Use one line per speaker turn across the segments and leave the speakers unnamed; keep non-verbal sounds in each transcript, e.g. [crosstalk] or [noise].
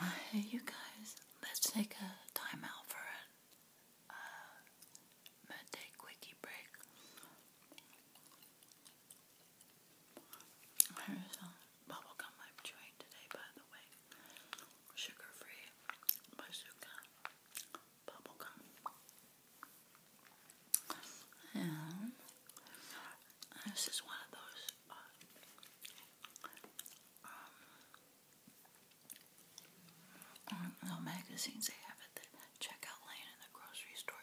Uh, hey, you guys, let's take a timeout for a uh, break. Here's a bubblegum I'm chewing today, by the way. Sugar free bazooka bubblegum. And this is one of those uh, um, mm, little magazines they have at the checkout lane in the grocery store.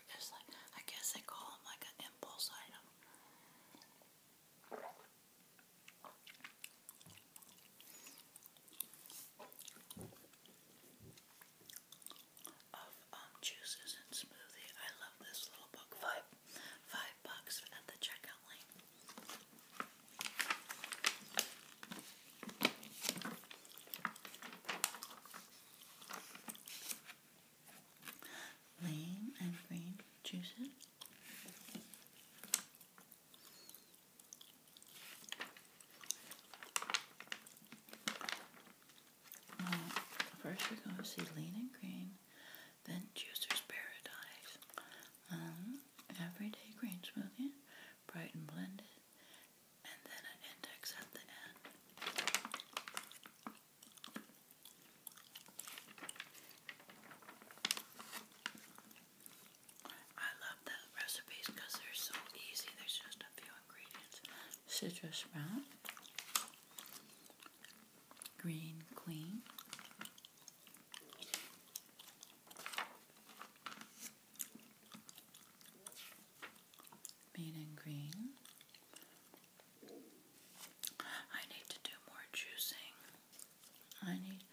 I guess they call them like an impulse item um, juices and smoothie. I love this little book. Five, five bucks at the checkout lane. Lame and green juices. Uh, first we're going to see Lean and Green, then Juicer's Paradise, um, Everyday Green Smoothie, Bright and Blended, and then an index at the end. I love the recipes because they're so easy. There's just a few ingredients. Citrus sprout, Green Queen. Mean and green. I need to do more juicing. I need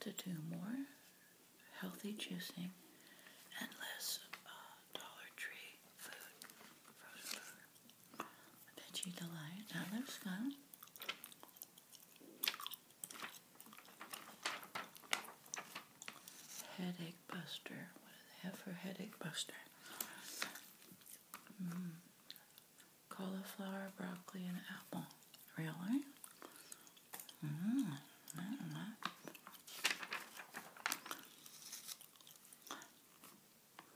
to do more healthy juicing and less uh, Dollar Tree food bet you delight. That looks good. Headache Buster. What do they have for Headache Buster? Mm. Cauliflower, broccoli, and apple. Really? Mmm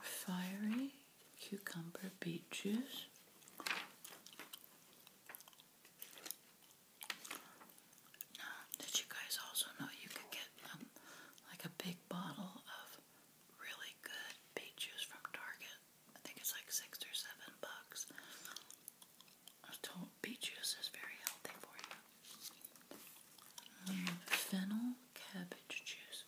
fiery cucumber beet juice. Now, did you guys also know you could get um, like a big bottle of really good beet juice from Target? I think it's like six or seven bucks. I told beet juice is very healthy for you fennel cabbage juice.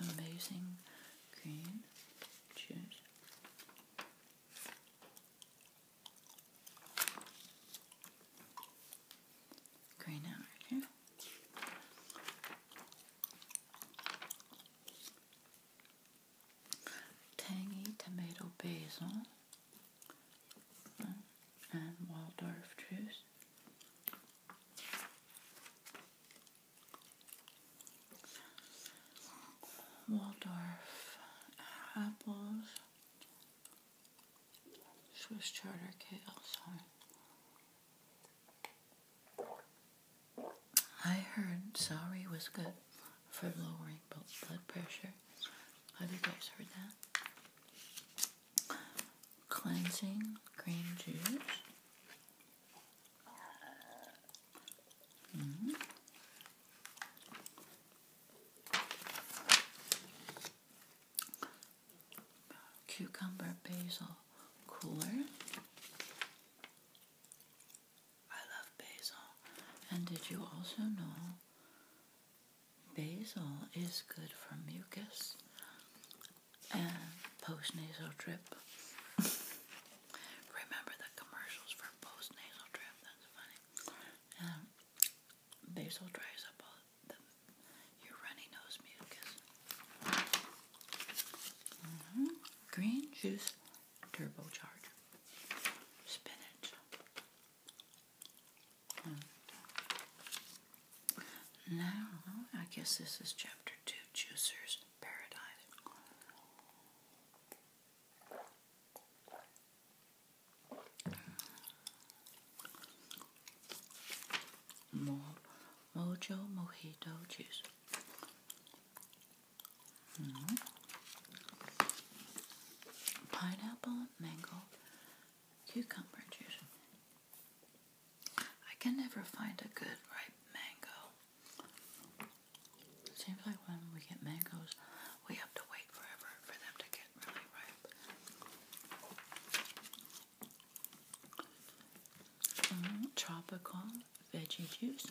Amazing green juice. Green out here. Tangy tomato basil and Waldorf juice. Waldorf apples Swiss Charter Kale, sorry. I heard celery was good for lowering blood pressure. Have you guys heard that? Cleansing green juice. Mm-hmm cucumber basil cooler. I love basil. And did you also know basil is good for mucus and postnasal drip? [laughs] Remember the commercials for postnasal drip? That's funny. Um, basil dries up all the, your runny nose mucus. Mm-hmm. Green juice turbocharge. Spinach. Mm-hmm. Now, I guess this is chapter two, Juicer's Paradise. More Mojo Mojito juice. Hmm. Pineapple, mango, cucumber juice. I can never find a good ripe mango. seems like when we get mangoes, we have to wait forever for them to get tropical veggie juice.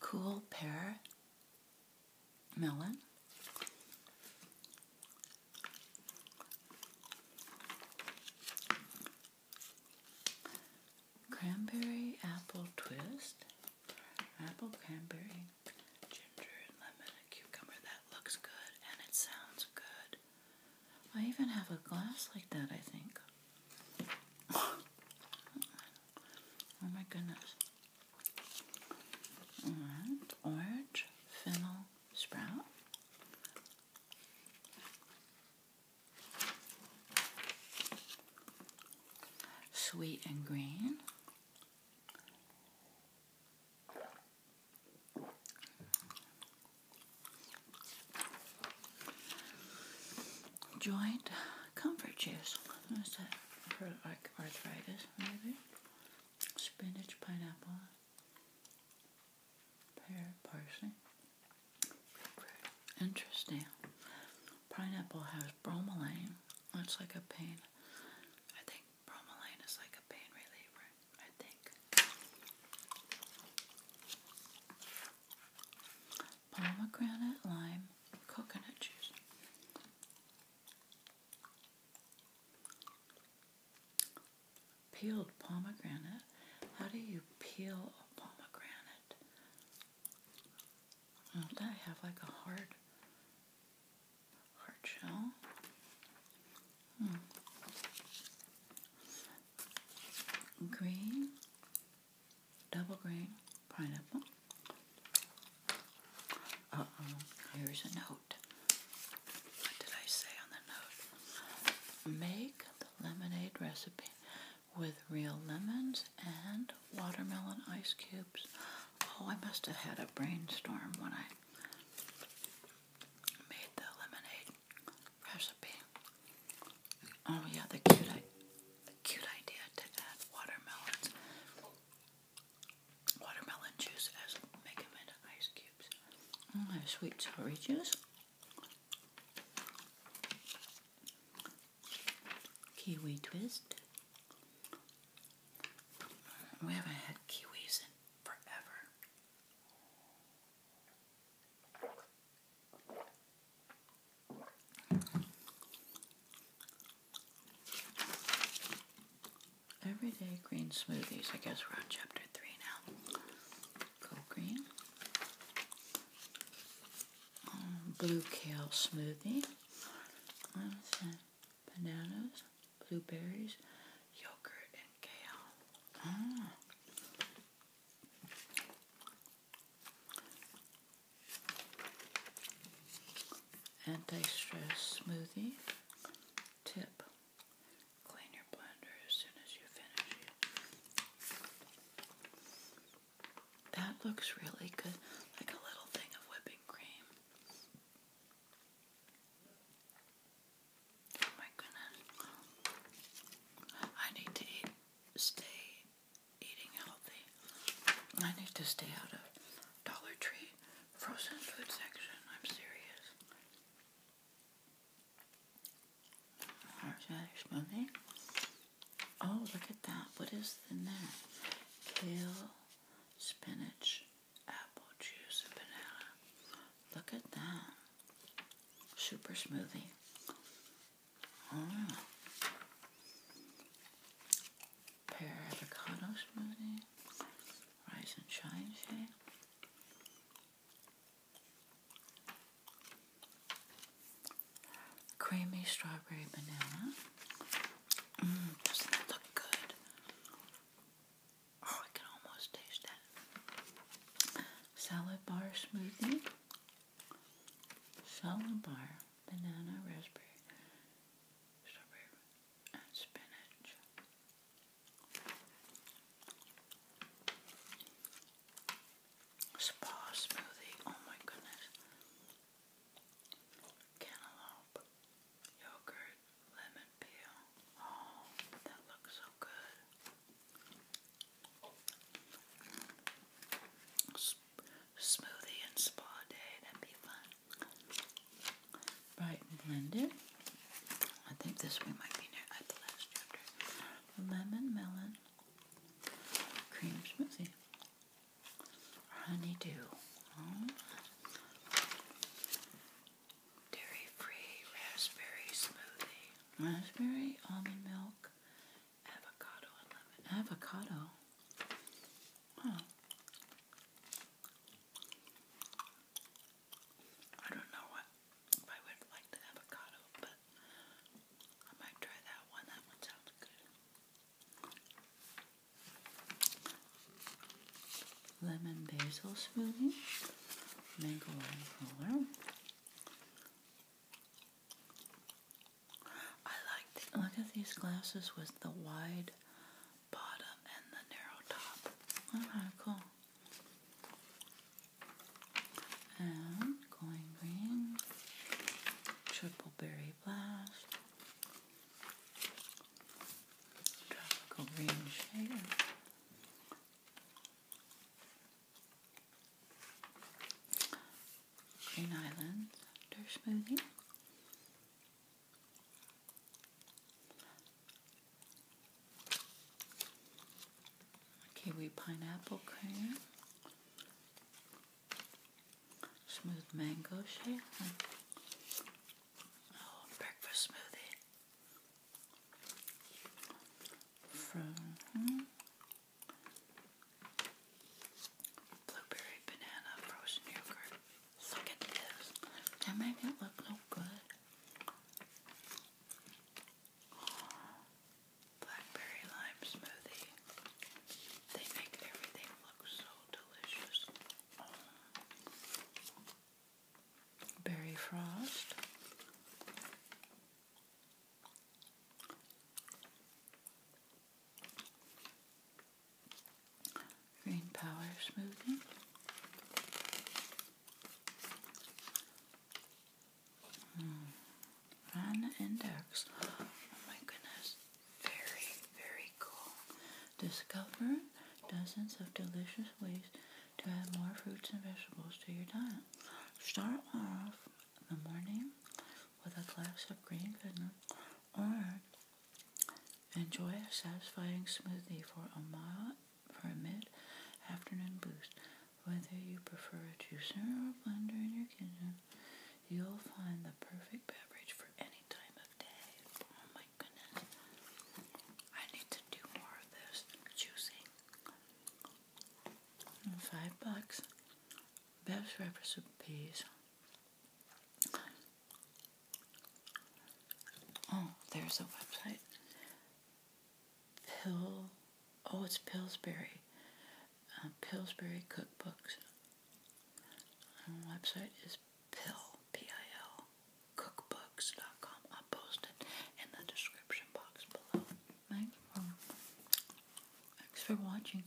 Cool pear melon. Cranberry apple twist. Apple, cranberry, ginger, and lemon, and cucumber. That looks good and it sounds good. I even have a glass like that, I think. [coughs] oh my goodness. orange, fennel, sprout. Sweet and green. Joint comfort juice. What is that? For like arthritis, maybe. Spinach, pineapple pear, parsley, Interesting. Pineapple has bromelain. It's like a pain. I think bromelain is like a pain reliever. I think. Pomegranate, lime, coconut juice. Peeled pomegranate. How do you peel a pomegranate? Don't I have like a hard, hard shell? Hmm. Green, double green pineapple. Uh oh, here's a no what did I say on the note? Make the lemonade recipe with real lemons and watermelon ice cubes. Oh, I must have had a brainstorm when I made the lemonade recipe. Oh yeah, the cute, the cute idea to add watermelons, watermelon juice as make them into ice cubes and oh, those sweet juice, kiwi twist. We haven't had kiwis in forever. Everyday green smoothies. I guess we're on chapter three now. Go green. Um, blue kale smoothie. Bananas, blueberries, yogurt, and kale. Ah. Anti-stress smoothie. Tip. Clean your blender as soon as you finish it. That looks really good, like a little thing of whipping cream. Oh my goodness. I need to eat, stay eating healthy. I need to stay out of Dollar Tree frozen food section. I'm serious. Horseradish smoothie. Oh, look at that. What is in there? Kale, spinach, apple juice, and banana. Look at that. Super smoothie. Oh. Pear avocado smoothie. Rice and chai shake. Creamy strawberry banana. Mm, doesn't that look good? Oh, I can almost taste that. Salad bar smoothie. Salad bar banana raspberry. Strawberry spinach. Spa smoothie, oh my goodness. Cantaloupe, yogurt, lemon peel. Oh, that looks so good. smoothie and spa day, that'd be fun. Right, and blend it. I think this we might be near at the last chapter. Lemon melon cream smoothie. Honeydew. Oh. Dairy free raspberry smoothie. Raspberry, almond milk, avocado, and lemon. Avocado. Huh. I don't know what I would like the avocado, but I might try that one. That one sounds good. Lemon basil smoothie, mango and roller. I like. Look at these glasses with the wide bottom and the narrow top. Okay, cool. And going green, triple berry blast, tropical green shader. Green Islands, after smoothie. Kiwi pineapple cream. Smooth mango shake. Oh, breakfast smoothie. From blueberry banana frozen yogurt. Look at this. That made it look so good. Blackberry lime smoothie. They make everything look so delicious. Berry frost. Green Power Smoothie. Hmm. Run Index. Oh my goodness. Very, very cool. Discover dozens of delicious ways to add more fruits and vegetables to your diet. Start off the morning with a glass of green goodness or Enjoy a satisfying smoothie for a mild, for a mid-afternoon boost. Whether you prefer a juicer or a blender in your kitchen, you'll find the perfect beverage for any time of day. Oh my goodness. I need to do more of this juicing. Five bucks. Best recipes Oh, there's a website. Pill. Oh, it's Pillsbury. Uh, Pillsbury Cookbooks. Um, website is Pill. P-I-L. Cookbooks.com. I'll post it in the description box below. Thanks thanks for watching.